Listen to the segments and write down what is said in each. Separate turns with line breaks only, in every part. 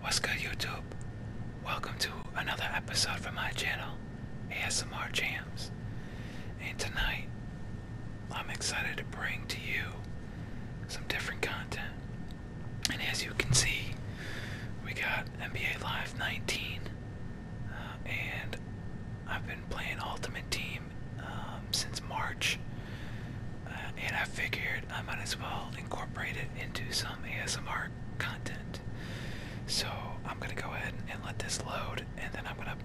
What's good YouTube? Welcome to another episode from my channel, ASMR Jams. And tonight, I'm excited to bring to you some different content. And as you can see, we got NBA Live 19. Uh, and I've been playing Ultimate Team um, since March and I figured I might as well incorporate it into some ASMR content. So I'm gonna go ahead and let this load, and then I'm gonna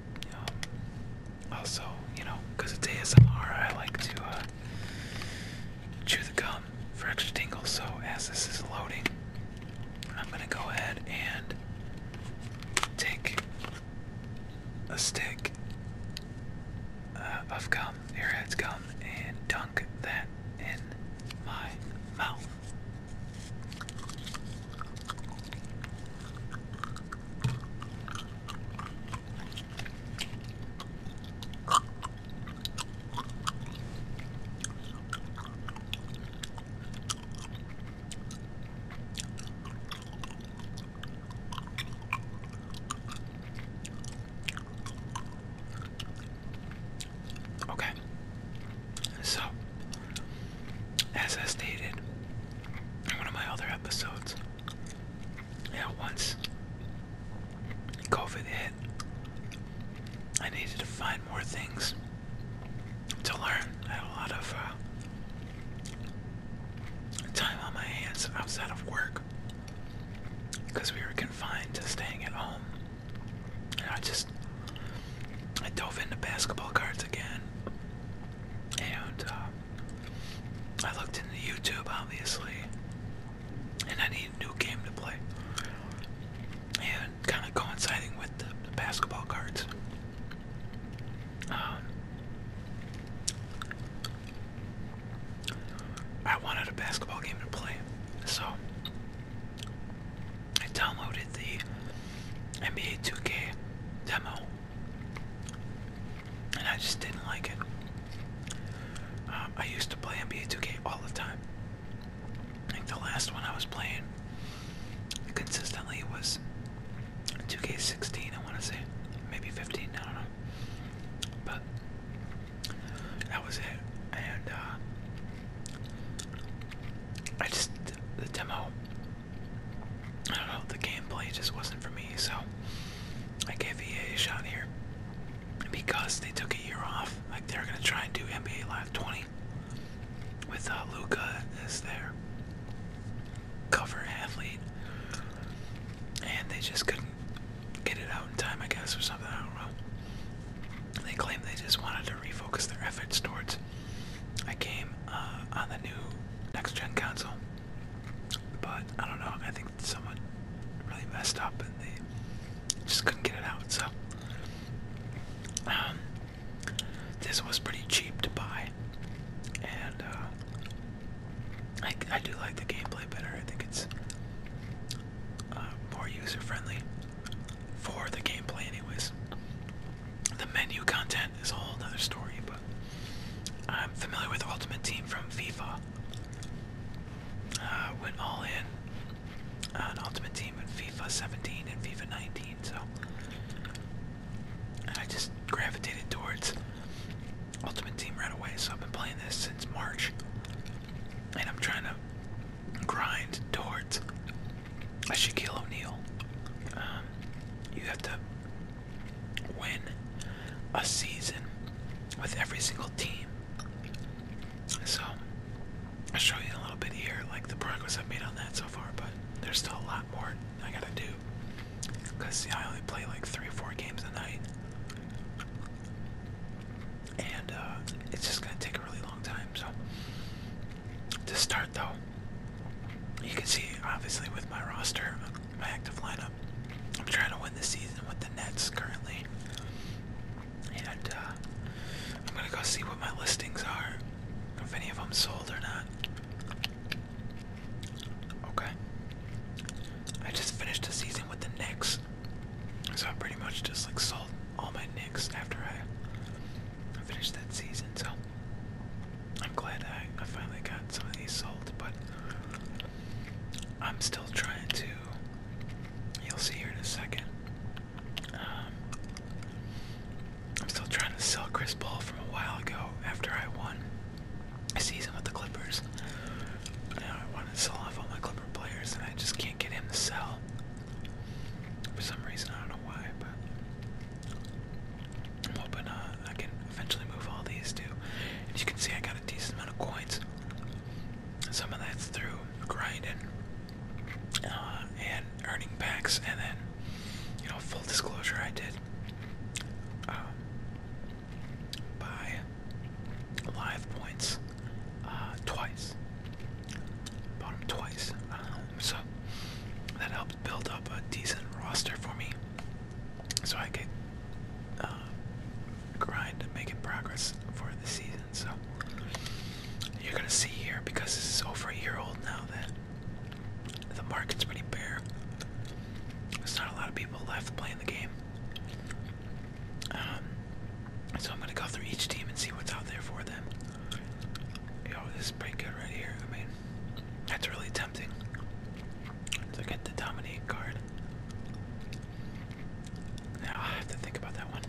also, you know, because it's ASMR, I like to uh, chew the gum for extra tingles. So as this is loading, I'm gonna go ahead and take a stick uh, of gum Airheads come and dunk that in my mouth. Okay. So, as I stated in one of my other episodes, yeah, once COVID hit, I needed to find more things to learn. I had a lot of uh, time on my hands outside of work because we were confined to staying at home. And I just I dove into basketball cards again, and uh, I looked into YouTube, obviously, and I need a new game to play. And kind of coinciding with the, basketball cards, um, I wanted a basketball game to play, so I downloaded the NBA 2K demo, and I just didn't like it. Uh, I used to play NBA 2K all the time. I think the last one I was playing consistently was 2K16, I want to say, maybe 15, I don't know. But that was it. And uh, I just the demo. I don't know. The gameplay just wasn't for me, so I gave EA a shot here because they took a year off. Like they're gonna try and do NBA Live 20 with uh, Luca as their cover athlete, and they just couldn't get it out in time, I guess, or something. I don't know. They claim they just wanted to refocus their efforts towards a game uh, on the new next-gen console, but I don't know. I think someone really messed up and they just couldn't get it out. So um, this was pretty cheap to buy, and uh, I, I do like the gameplay better. I think it's uh, more user friendly for the gameplay, anyways. The menu content is a whole other story, but I'm familiar with Ultimate Team from FIFA. Uh, went all in on Ultimate Team in FIFA 17 and FIFA 19, so I just gravitated towards Ultimate Team right away. So I've been playing this since March and I'm trying to grind towards a Shaquille O'Neal. Um, you have to win a season with every single team. So I'll show you a little bit here, like the progress I've made on that so far, but there's still a lot more I gotta do. Because, see, I only play like three or four games a night and uh, it's just gonna take a really long time. So to start though, you can see obviously with my roster, my active lineup, I'm trying to win the season with the Nets currently, and uh, I'm gonna go see what my listings are, if any of them sold or not. Okay. I just finished the season with the Knicks. So I pretty much just like sold all my nicks after I finished that season. So I'm glad I, finally got some of these sold, but I'm still trying to. You'll see here in a second. Um, I'm still trying to sell Chris Paul from a while ago after I won a season with the Clippers want to sell off all my Clipper players, and I just can't get him to sell. For some reason, I don't know why, but I'm hoping uh, I can eventually move all these too. And as you can see, I got a decent amount of coins. Some of that's through grinding uh, and earning packs, and then, you know, full disclosure, I did. Um, by live points uh, twice. Bought him twice. So that helped build up a decent roster for me. So I could uh, grind and making progress for the season. So
you're gonna see here
because this is over a year old now that the market's pretty bare. There's not a lot of people left playing the game. Um, so I'm gonna go through each team and see what's out there for them. Yo, this is pretty good right here. I mean, that's really tempting. So get the dominate card. Now I have to think about that one.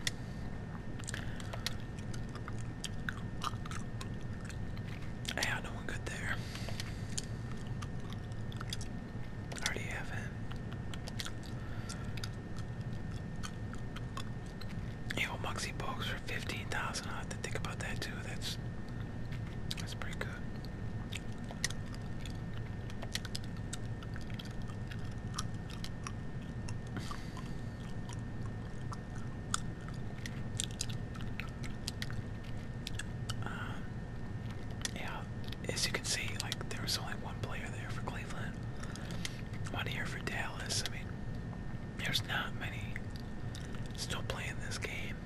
I had no one good there. I already have him. Evil Moxie Box for 15,000. i have to think about that too. That's that's pretty good. Um, yeah, as you can see, like there was only one player there for Cleveland, one here for Dallas. I mean, there's not many still playing this game.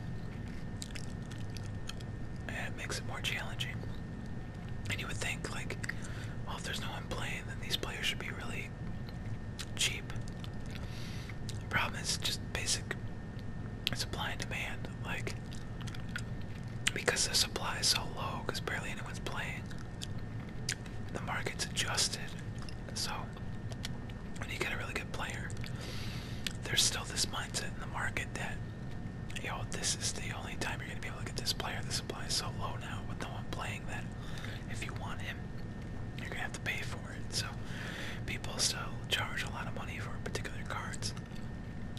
And it makes it more challenging. And you would think, like, well, if there's no one playing, then these players should be really cheap. The problem is just basic supply and demand. Like, because the supply is so low, because barely anyone's playing, the market's adjusted. So when you get a really good player, there's still this mindset in the market that, yo, this is the only time you're gonna be able to get this player. The supply is so low now with no one playing that if you want him, you're gonna have to pay for it. So people still charge a lot of money for particular cards,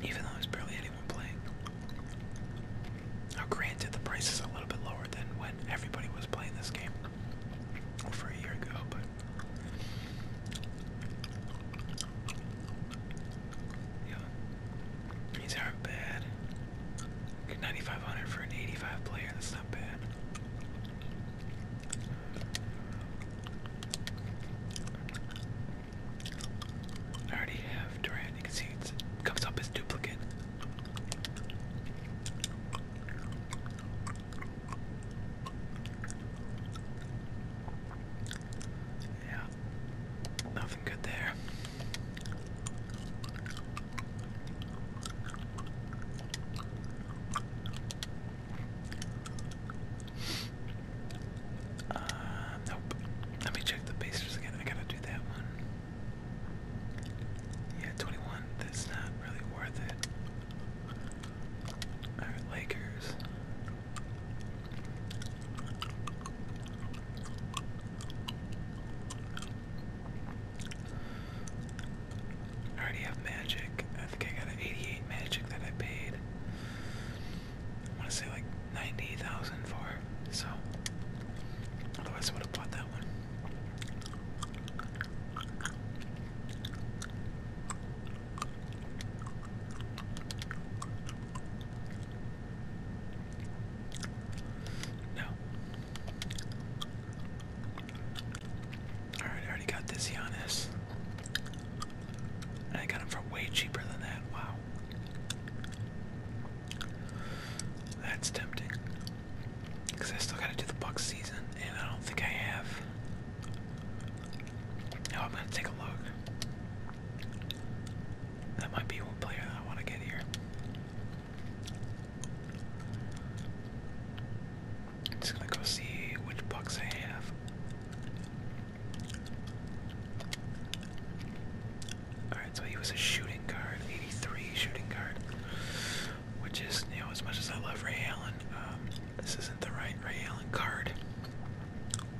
even though there's barely anyone playing. Now, granted, the price is a little bit lower than when everybody was playing this game over a year ago, but these aren't bad. 9,500 for an 85 player, that's not bad. I already have Durant. You can see it comes up as duplicate. Yeah, nothing good there. Uh, nope. Let me check the Pacers again. I gotta do that one. Yeah, 21. That's not really worth it. Alright, Lakers. I already have magic. I think I got an 88 magic that I paid. I want to say like 90,000 for so otherwise I would have bought that one. No. Alright, I already got this Giannis. And I got him for way cheaper than that. Wow. That's tempting. Because I still gotta do the Bucks season, and I don't think I have. Now oh, I'm gonna take a look. That might be one player that I want to get here. I'm just gonna go see which Bucks I have. Alright, so he was a shooting guard, 83 shooting guard. Which is, you know, as much as I love Ray Allen, um, this isn't the right Ray Allen card.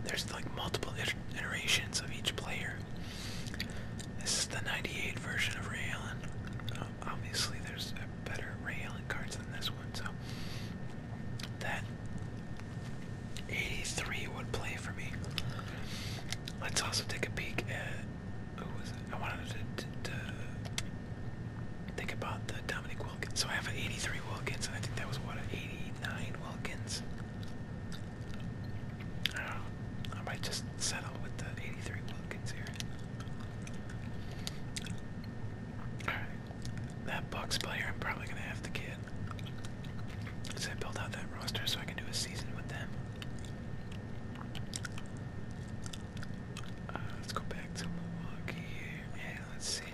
There's like multiple iterations of each player. This is the 98 version of Ray Allen. Um, obviously, there's better Ray Allen cards than this one, so that 83 would play for me. Let's also take a peek at who was it? I wanted to, think about the Dominic Wilkins. So I have an 83 Wilkins, and I think that was what an 89 Wilkins. I might just settle with the 83 Wilkins here. Alright. That Bucks player, I'm probably gonna have to give it. I built out that roster so I can do a season with them. Uh, let's go back to Milwaukee. Yeah, let's see.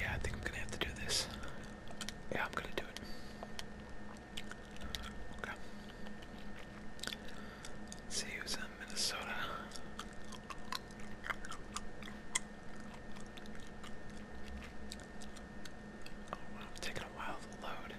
Yeah, I think I'm gonna have to do this. Yeah, I'm gonna do it. Okay. let Minnesota. Oh wow, taking a while to load.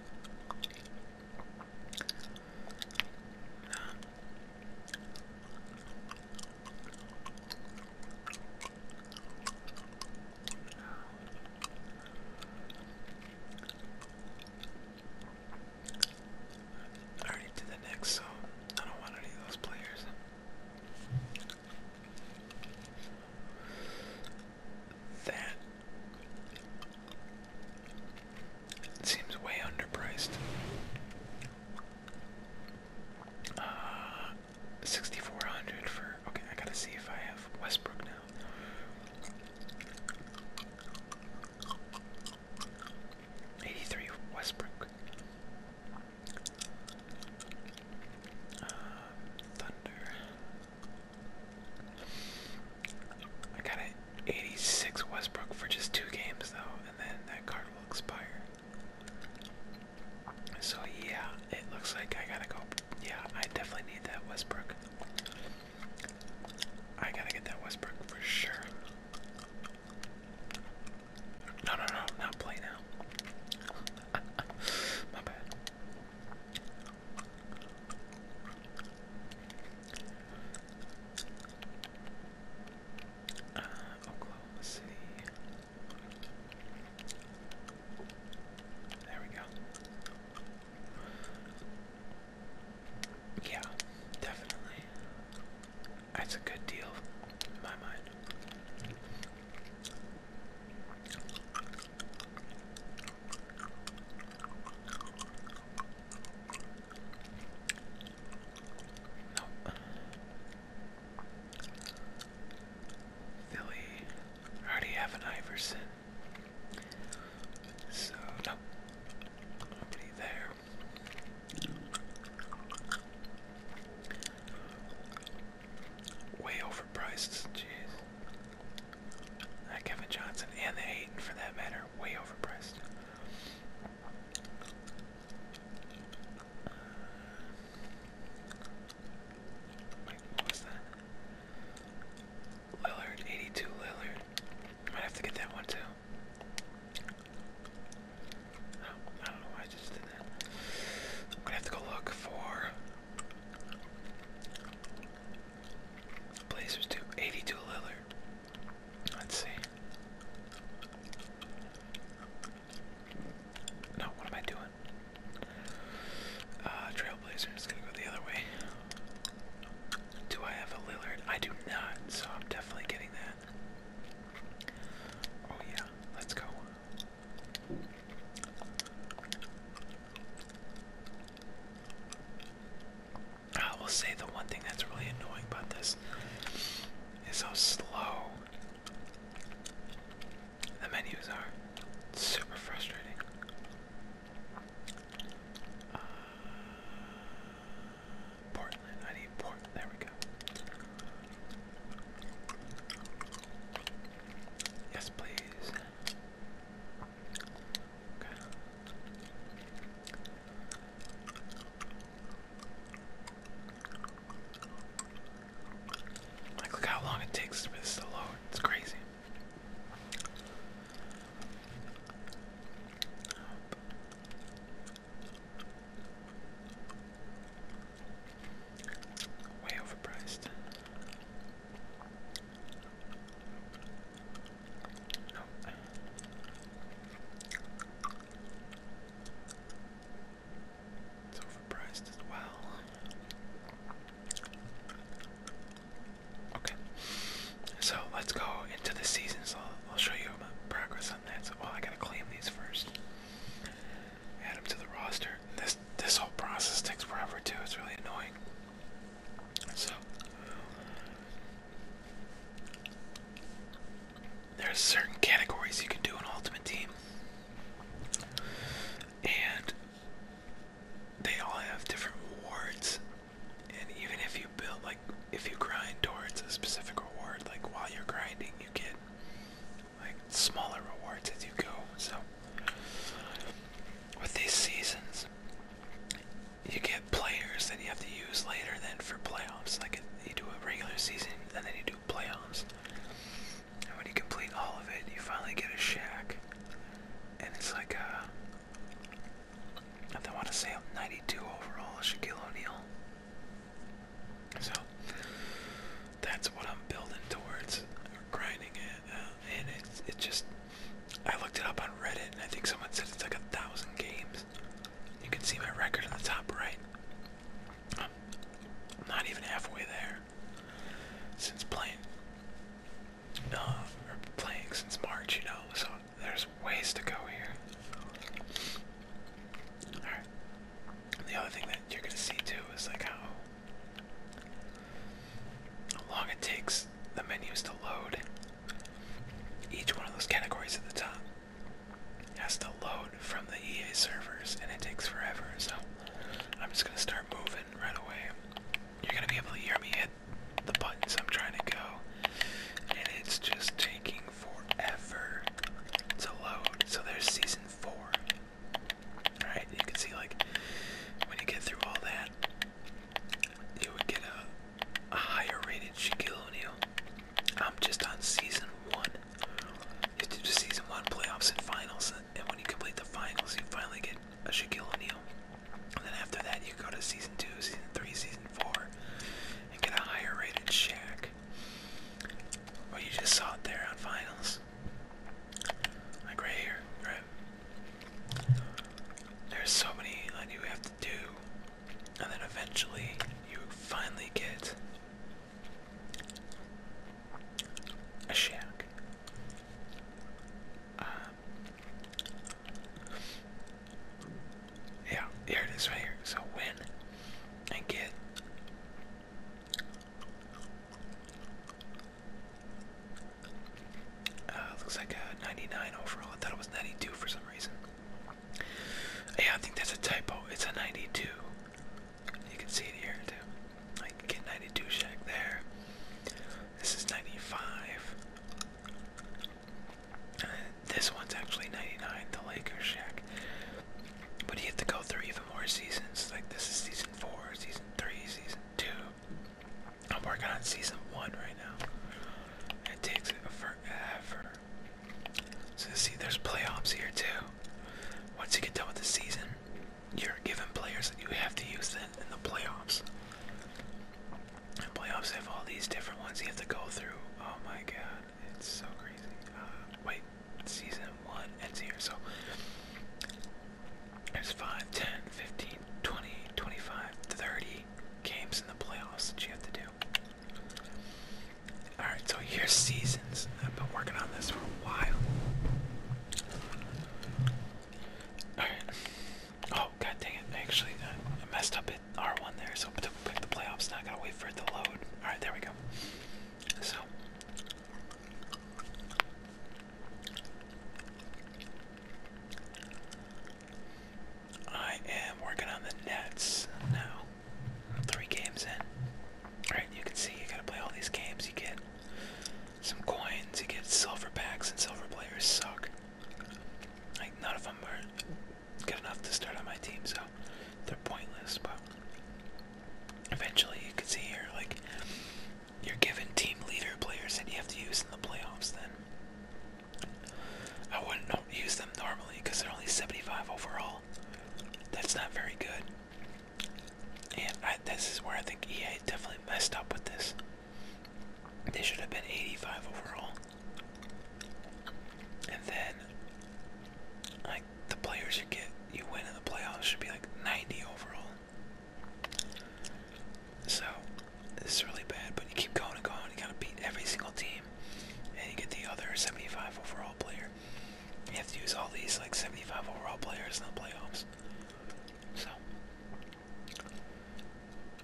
I already did the next, so I don't want any of those players. That seems way underpriced. Uh, 6400 for. Okay, I gotta see if I have Westbrook now. Eighty-three Westbrook. Uh, thunder. I got an 86 Westbrook for just two games though, and then that card will expire. So yeah, it looks like I gotta go. Yeah, I definitely need that Westbrook. I gotta get that Westbrook for sure. No, no, no, not play now. My bad. Uh, Oklahoma City. There we go. Yeah, definitely. That's a good deal in my mind. Nope. Philly. I already have an Iverson. So, nope. Nobody there. Way overpriced, jeez. That uh, Kevin Johnson and the Hayden, for that matter, way overpriced. what was that? Lillard, 82 Lillard. Might have to get that one too. I don't know why I just did that. I'm gonna have to go look for Blazers too. 82 Lillard. Let's see. No, what am I doing? Uh, Trailblazer gonna go the other way. Do I have a Lillard? I do not, so I'm definitely getting that. Oh yeah, let's go. I will say the one thing that's really annoying about this is how slow the menus are. super frustrating. Uh, Portland, I need Portland. There we go. Yes, please. look how long it takes for this to load. It's crazy. Way overpriced. Nope. It's overpriced as well. Okay. So let's go into the seasons. I'll, I'll show you my progress on that. So, well, I gotta claim these first add them to the roster. This this whole process takes forever too. It's really annoying. So are certain categories you can do an ultimate team, and they all have different rewards. And even if you build like if you grind towards a specific reward, like while you're grinding, you get like smaller rewards as you go. So with these seasons, you get players that you have to use later Then for playoffs. Like you do a regular season and then you do playoffs. And when you complete all of it, you finally get a shack. And it's like a uh, I want to say 92 overall, Shaquille O'Neal. So, that's what I'm building towards or grinding it. Uh, and it's it just I looked it up on Reddit and I think someone said it's like a thousand games. You can see my record in the top right. I'm not even halfway there since playing. No, uh, or playing since March, you know. So there's ways to go here. All right, the other thing that you're gonna see too is like how how long it takes the menus to load. Each one of those categories at the top has to load from the EA servers, and it takes forever. So I'm just gonna start moving right away. You're gonna be able to hear me hit the buttons I'm trying to go, and it's just taking forever to load. So there's season four. Alright, you can see like when you get through all that, you would get a, higher rated Shaquille O'Neal. I'm just on season one. You do season one playoffs and finals, and when you complete the finals, you finally get a Shaquille O'Neal. And then after that, you go to season two, season three, season four, and get a higher rated Shaq. Well, you just saw it there on finals. Like right here, right? There's so many that you have to do, and then eventually you finally get a shack. Um, yeah, here it is right here. So win and get uh, looks like a uh, 99 overall. I thought it was 92 for some reason. Yeah, I think that's a typo. It's a 92. You can see it here too. I can get 92 Shack there. This is 95. Uh, this one's actually 99, the Lakers Shack. But you have to go through even more seasons. Like this is season four, season three, season two. I'm working on season one right now. It takes forever. So see, there's playoffs here too. Once you get done with the season, you're given players that you have to use then in the playoffs. And playoffs have all these different ones you have to go through. Oh my god, it's so crazy. Uh, wait, season one ends here. So there's 5, 10, 15, 20, 25, 30 games in the playoffs that you have to do. Alright, so here's seasons. I've been working on this for a while. Alright. Oh, god dang it. I actually uh, I messed up at R1 there, so to pick the playoffs I gotta wait for it to load. Alright, there we go. So, I am working on the Nets now. Three games in. Alright, you can see you gotta play all these games. You get some coins, you get silver packs, and silver players suck. Like, none of them are good enough to start on my team, so they're pointless, but eventually you can see here like you're given team leader players that you have to use in the playoffs then I wouldn't use them normally because they're only 75 overall that's not very good and I, this is where I think EA definitely messed up with this they should have been 85 overall and then the players you get, you win in the playoffs should be like 90 overall. So this is really bad, but you keep going and going. You gotta beat every single team, and you get the other 75 overall player. You have to use all these like 75 overall players in the playoffs. So,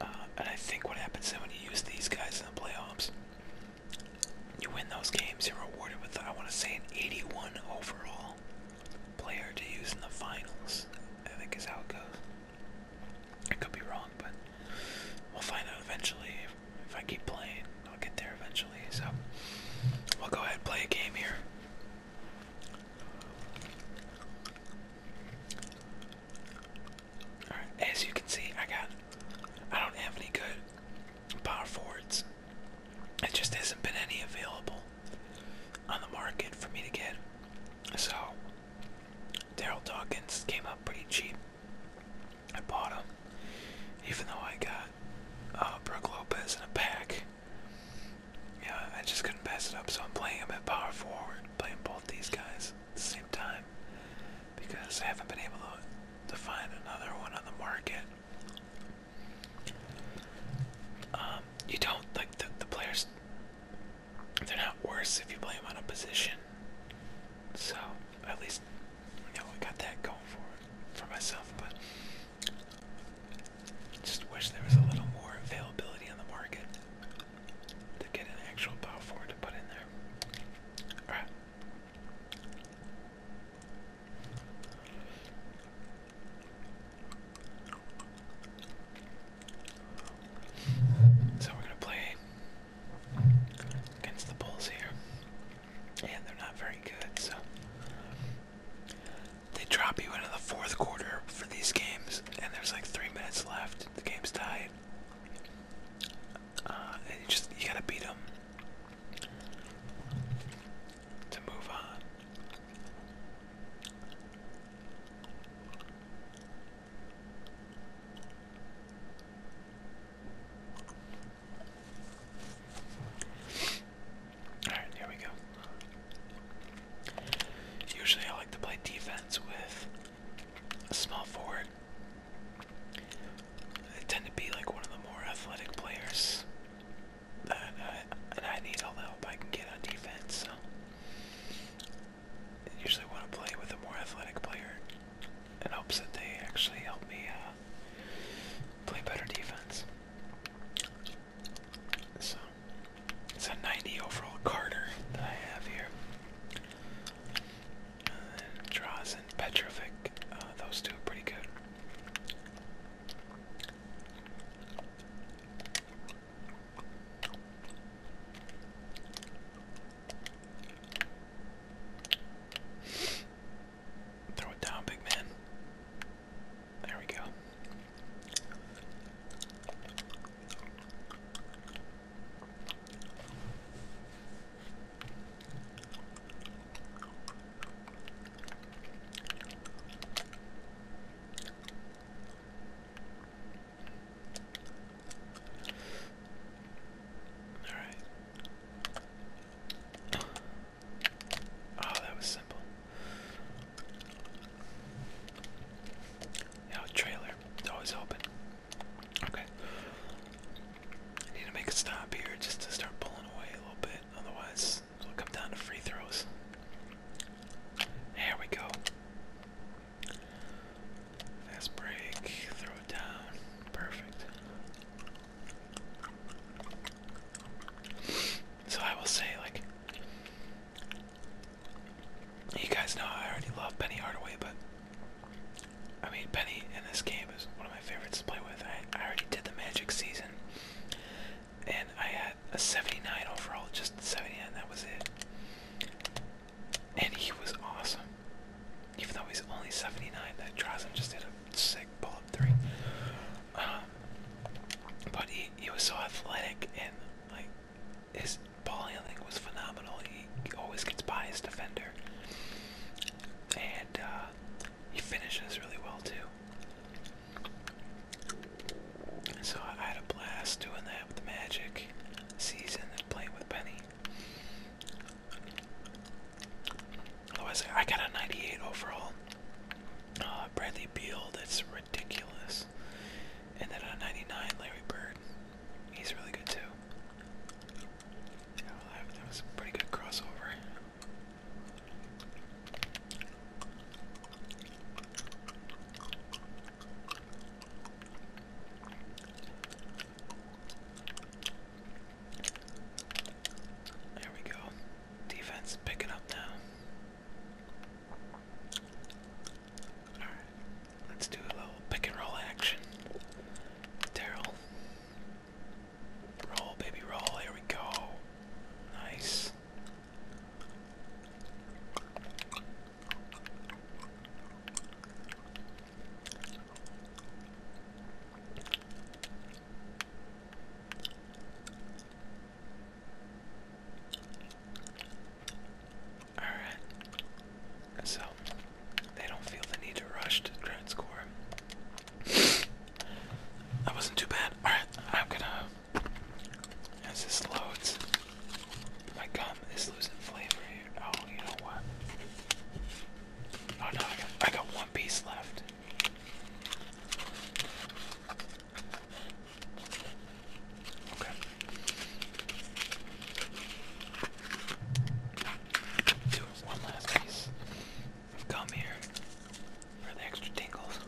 uh, and I think what happens is when you use these guys in the playoffs, you win those games. You're rewarded with I want to say an 81 overall player to use in the finals, I think is how it goes. I could be wrong, but we'll find out eventually. If I keep playing, I'll get there eventually. So we'll go ahead and play a game here. as you can see, I got. I don't have any good power forwards it just hasn't been any available on the market for me to get. So Daryl Dawkins came up pretty cheap. I bought him, even though I got uh, Brooke Lopez in a pack. Yeah, I just couldn't pass it up, so I'm playing him at power forward, playing both these guys at the same time because I haven't been able to find another one on the market um, you don't like the players. They're not worse if you play them on a position. So at least know I got that going for for myself. But just wish there was a little more availability on the market to get an actual power forward to put in there. All right. So we're going to play against the Bulls here. And they're not very good, so. They drop you into the fourth quarter for these games, and there's like three minutes left. The game's tied. Uh, you just, you gotta beat them to move on. Alright, here we go. Usually I like to play defense with a small forward. They tend to be like one of the more athletic players I, I need all the help I can get on defense. So I usually want to play with a more athletic player in hopes that they actually help me uh, play better defense. So it's a 90 overall Carter that I have here. And Drazen, Petrovic, uh, those two are pretty good. Throw it down, big man. There we go. All right. Oh, that was simple. Now trailer, it's always open. Okay. I need to make a stop here just to start pulling away a little bit, otherwise this will come down to free throws. There we go. Fast break, throw it down. Perfect. So I will say, like, you guys know I already love Penny Hardaway, but I mean, Penny in this game is one of my favorites to play with. I, I already did the Magic season, and I had a 79 overall, just 79, that was it. And he was awesome. Even though he's only 79, that Drazen just hit a sick pull up three. Um, but he, he was so athletic and like his ball handling was phenomenal. He always gets by his defender. And uh, he finishes really well too. So I had a blast doing that with Magic season and playing with Penny. Otherwise, I got a 98 overall. Uh, Bradley Beal, that's ridiculous. And then a 99, Larry Bird. He's really good too. that was a pretty good crossover. There we go. Defense picking up now. Alright, let's do a little pick and roll action. Daryl. Roll, baby, roll. Here we go. Nice. All right. So they don't feel the need to rush to try that wasn't too bad. Alright, I'm gonna. As this loads, my gum is losing flavor Oh, you know what? Oh no, I got, I got one piece left. Okay. one last piece come here for the extra tingles.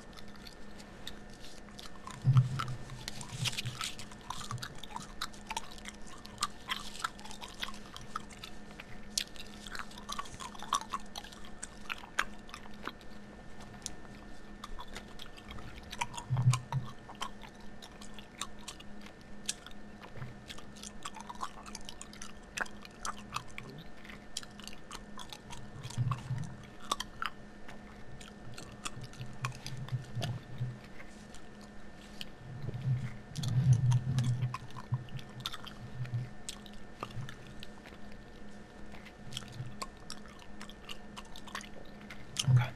Okay.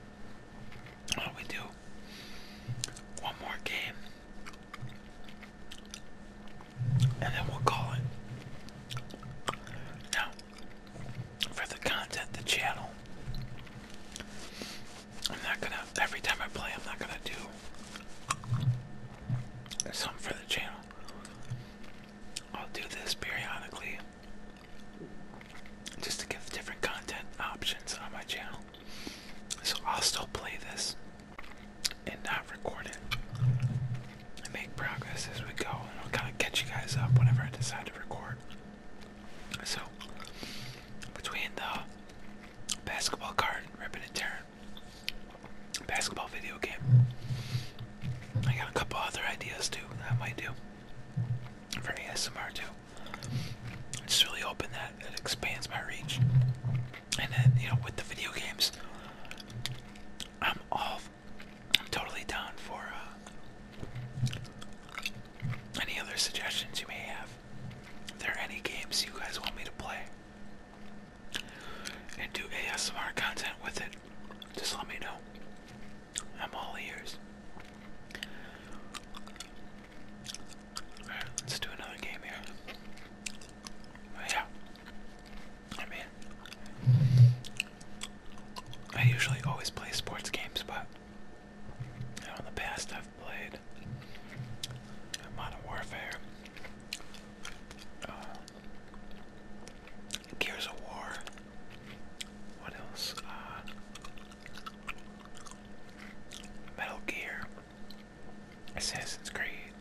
What we do? One more game and then we'll call it. Now, for the content, the channel, I'm not gonna, every time I play, I'm not gonna do something for the channel. I'll do this periodically just to give different content options on my channel. So I'll still play this and not record it. I make progress as we go, and I'll kind of catch you guys up whenever I decide to record. So, between the basketball card, ripping and tearing, basketball video game, I got a couple other ideas too that might do for ASMR too. It's really open that it expands my reach. And then, you know, with the video games, I'm all I'm totally down for uh, any other suggestions you may have. If there are any games you guys want me to play and do ASMR content with it, just let me know. I'm all ears. Alright, let's do another game here. Oh, yeah. I mean, I usually always play sports games, but in the past I've played Modern Warfare, uh, Gears of War. What else? Uh, Metal Gear, Assassin's Creed.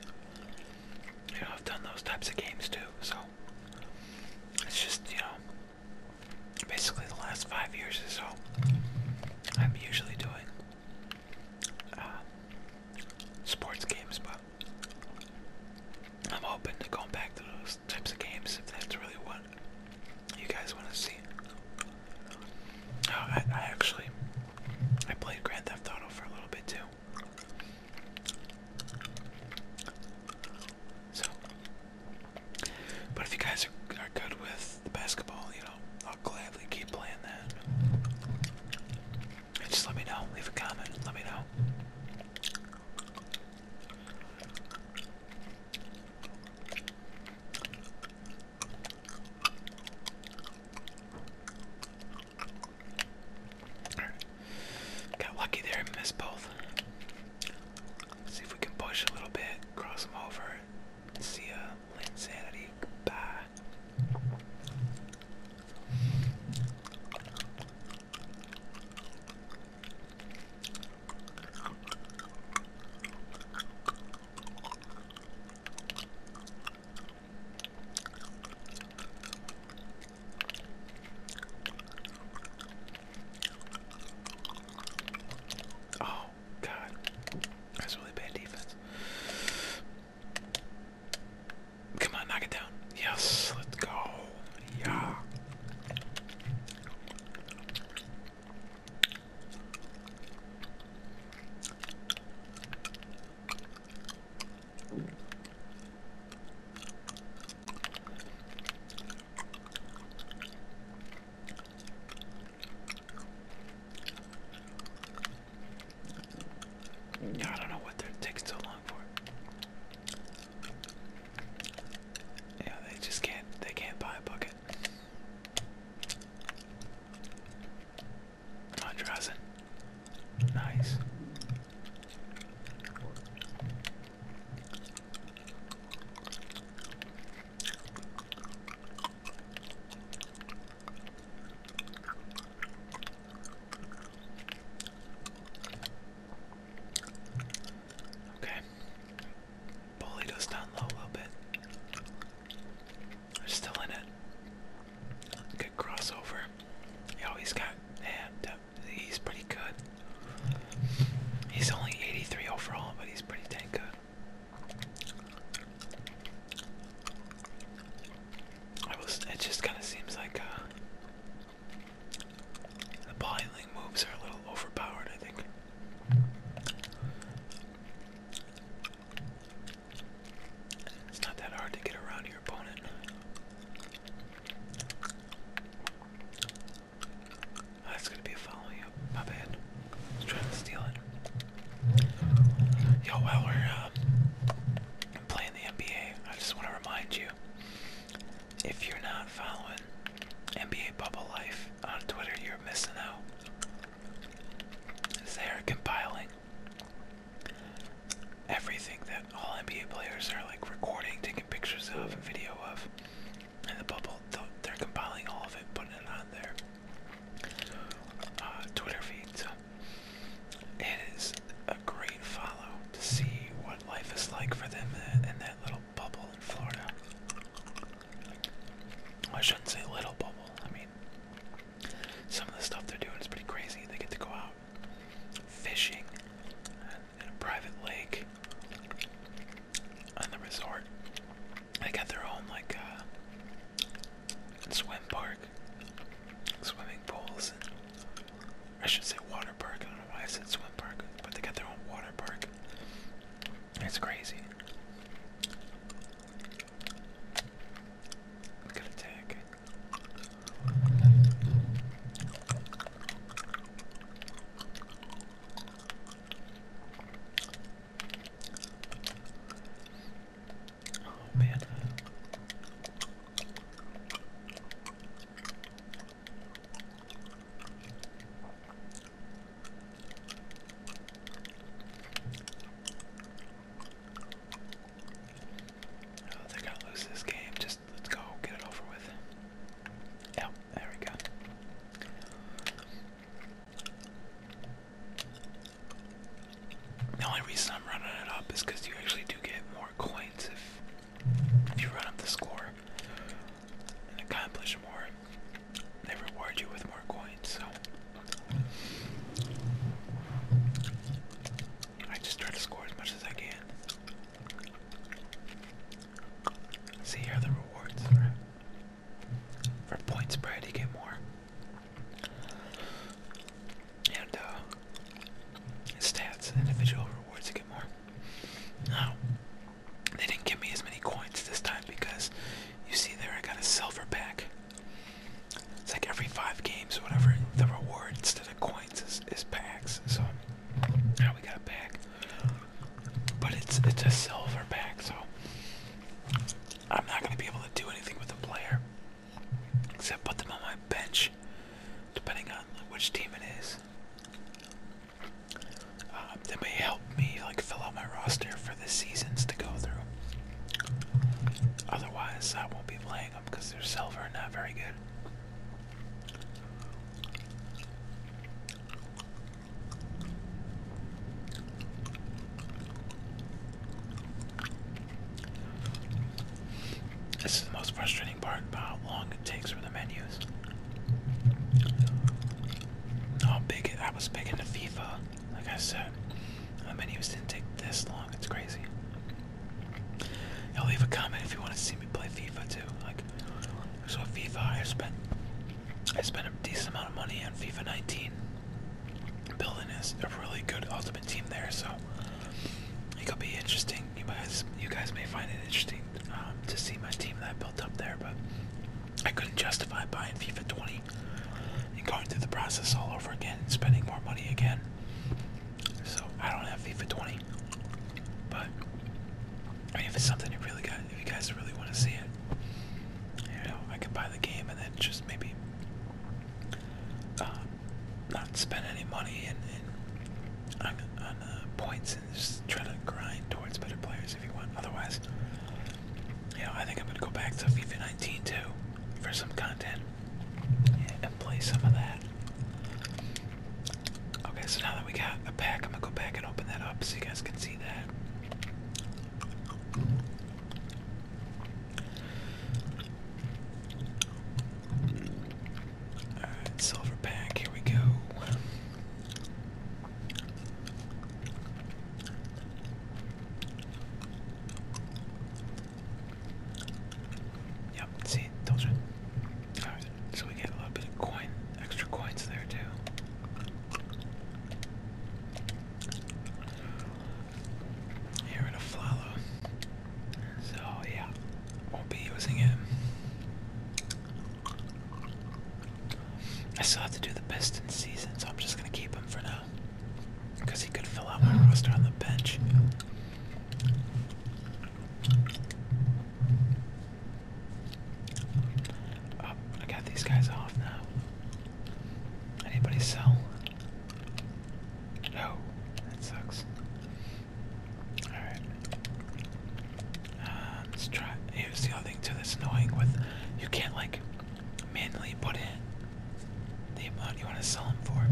You know, I've done those types of games too, so it's just, you know, basically the last five years or so, I'm usually doing uh, sports games, but I'm open to going back to those types of games if that's really what you guys want to see. Oh, I actually, I played Grand Theft Auto for a little bit too. So, but if you guys are, are good with basketball, you know, I'll gladly keep playing that. just let me know. Leave a comment. Let me know. Got lucky there and missed both. see if we can push a little bit, cross them over. See ya, uh, Linsanity. Goodbye. Oh, God. That's really bad defense. Come on, knock it down. Yes, let's go. Yeah. I don't know what they're taking so long for. Yeah, they just can't they can't buy a bucket. Andresen. Nice. Okay. Bullied down low a little bit. still in it. Good crossover. He always got and He's pretty good. He's only 83 overall, but he's pretty dang good. it just kind of seems like uh, the piling moves are a little overpowered, I think. It's not that hard to get around your opponent. Oh, that's gonna be a follow up My bad. I was trying to steal it. Yo, while we're um, playing the NBA, I just want to remind you if you're not following NBA Bubble Life on Twitter, you're missing out. They are compiling everything that all NBA players are like recording, taking pictures of, and video of, and the bubble. They're compiling all of it, putting it on their uh, Twitter feed. So it is a great follow to see what life is like for them in that little bubble in Florida. Well, I shouldn't say little bubble. I mean, some of the stuff they're doing is pretty crazy. They get to go out fishing in a private lake on the resort. They got their own like a uh, swim park, swimming pools, and I should say water park. I don't know why I said swim park, but they got their own water park. It's crazy. Good attack. Oh man. Oh, they're gonna lose this game. Just let's go get it over with. Yeah, there we go. The only reason I'm running it up is because you actually do get more coins if you run up the score and accomplish more. They reward you with more coins, so I just try to score as much as I can. See here are the rewards for, points, point spread. You get more, and uh, stats, individual rewards. You get more. Now they didn't give me as many coins this time because you see there I got a silver pack. It's like every five games, whatever, the reward instead of coins points is, packs. So now we got a pack, but it's it's a silver pack. So I'm not gonna be able to do anything with the player except put them on my bench, depending on which team it is. Um, that may help me like fill out my roster for the seasons to go through. Otherwise, I won't be playing them because they're silver and not very good. This is the most frustrating part about how long it takes for the menus. How big it, I was big into FIFA, like I said. The menus didn't take this long, it's crazy. Y'all leave a comment if you want to see me play FIFA too. Like, so FIFA, I spent I spent a decent amount of money on FIFA 19. Building is a really good ultimate team there, so it could be interesting. You guys, you guys may find it interesting um, to see my team that I built up there, but I couldn't justify buying FIFA 20 and going through the process all over again, and spending more money again. So I don't have FIFA 20, but if it's something you really got, if you guys really want to see it, you know, I could buy the game and then just maybe uh, not spend any money in on, uh, points and just try to grind towards better players if you want. Otherwise, you know, I think I'm gonna go back to FIFA 19 too for some content and play some of that. Okay, so now that we got a pack, I'm gonna go back and open that up so you guys can see that. Alright, silver pack, here we go. Yep, see, told you. so we get a little bit of coin, extra coins there too. Here in a flower. So yeah, won't be using it. I still have to do the best in season, so I'm just gonna keep him for now. Because he could fill out my roster on the bench. Oh, I got these guys off now. Anybody sell? No, that sucks. Alright. Uh, let's try. Here's the other thing too that's annoying with you can't like manually put in the amount you want to sell them for.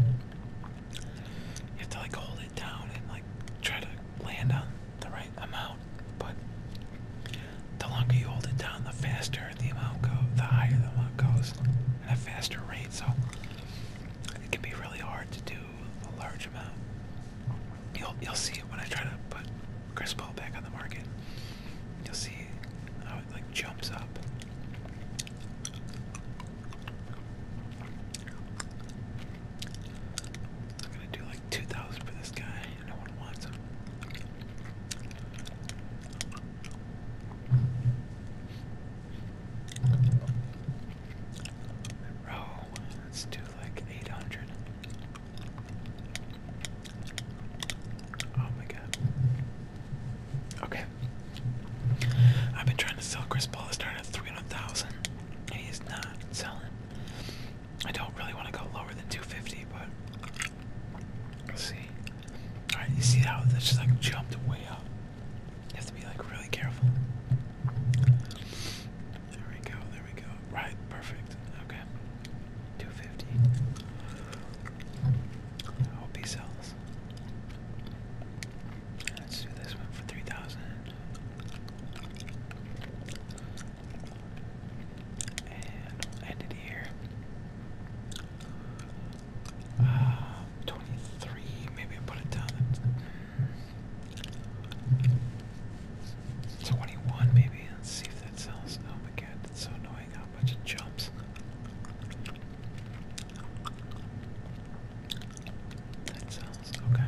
You have to like hold it down and like try to land on the right amount. But the longer you hold it down, the faster the amount goes, the higher the amount goes at a faster rate. So it can be really hard to do a large amount. You'll you'll see it when I try to put Chris Paul back on the market. You'll see how it like jumps up. I'm gonna do like 2,000 for this guy. No one wants him. Row. Let's do like 800. Oh my god. Okay. I've been trying to sell Chris Paul. is started at 300,000 and he is not selling. I don't really want to go lower than 250, but let's see. Alright, you see how this just like jumped way up? You have to be like really careful. There we go, there we go. Right, perfect. Okay. 250. I hope he sells. Let's do this one for 3,000. And end it here. Uh, 23, maybe i put it down at 21 maybe. Let's see if that sells. Oh my god, so annoying how much it jumps. That sounds okay.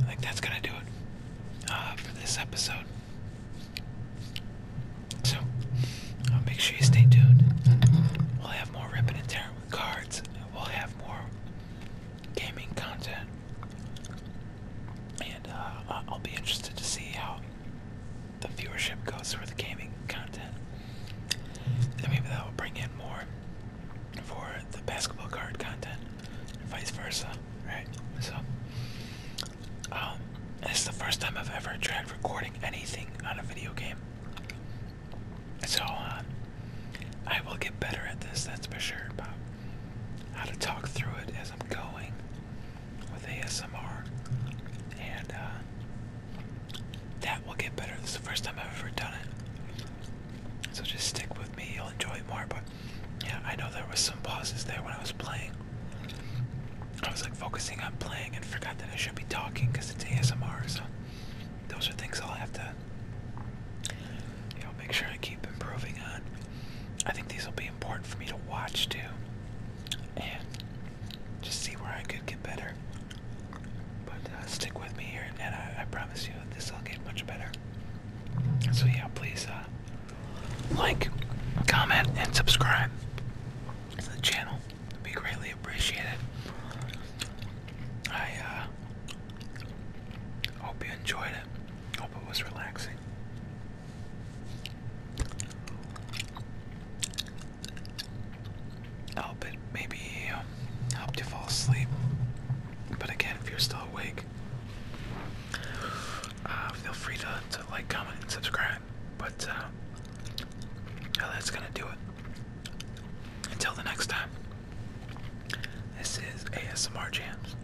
I think that's gonna do it uh, for this episode. So, uh, make sure you stay tuned. We'll have more Rippin' and Tearing with cards. We'll have more gaming content. And uh, I'll be interested to see how the viewership goes for the gaming content. And maybe that will bring in more for the basketball card content, and vice versa, right? So, um, this is the first time I've ever tried recording anything on a video game. So, um, I will get better at this, that's for sure, about how to talk through it as I'm going with ASMR, and uh, that will get better. This is the first time I've ever done it, so just stick with me. You'll enjoy it more. But yeah, I know there was some pauses there when I was playing. I was like focusing on playing and forgot that I should be talking because it's ASMR. So those are things I'll have to, I'll make sure I keep improving on. I think these will be important for me to watch too and just see where I could get better. But uh, stick with me here, and I, promise you this will get much better. So yeah, please uh, like, comment, and subscribe to the channel. It'd be greatly I uh, hope you enjoyed it. Hope it was relaxing i oh, maybe um, help you fall asleep. But again, if you're still awake, uh, feel free to, to like, comment, and subscribe. But uh, yeah, that's gonna do it. Until the next time, this is ASMR Jams.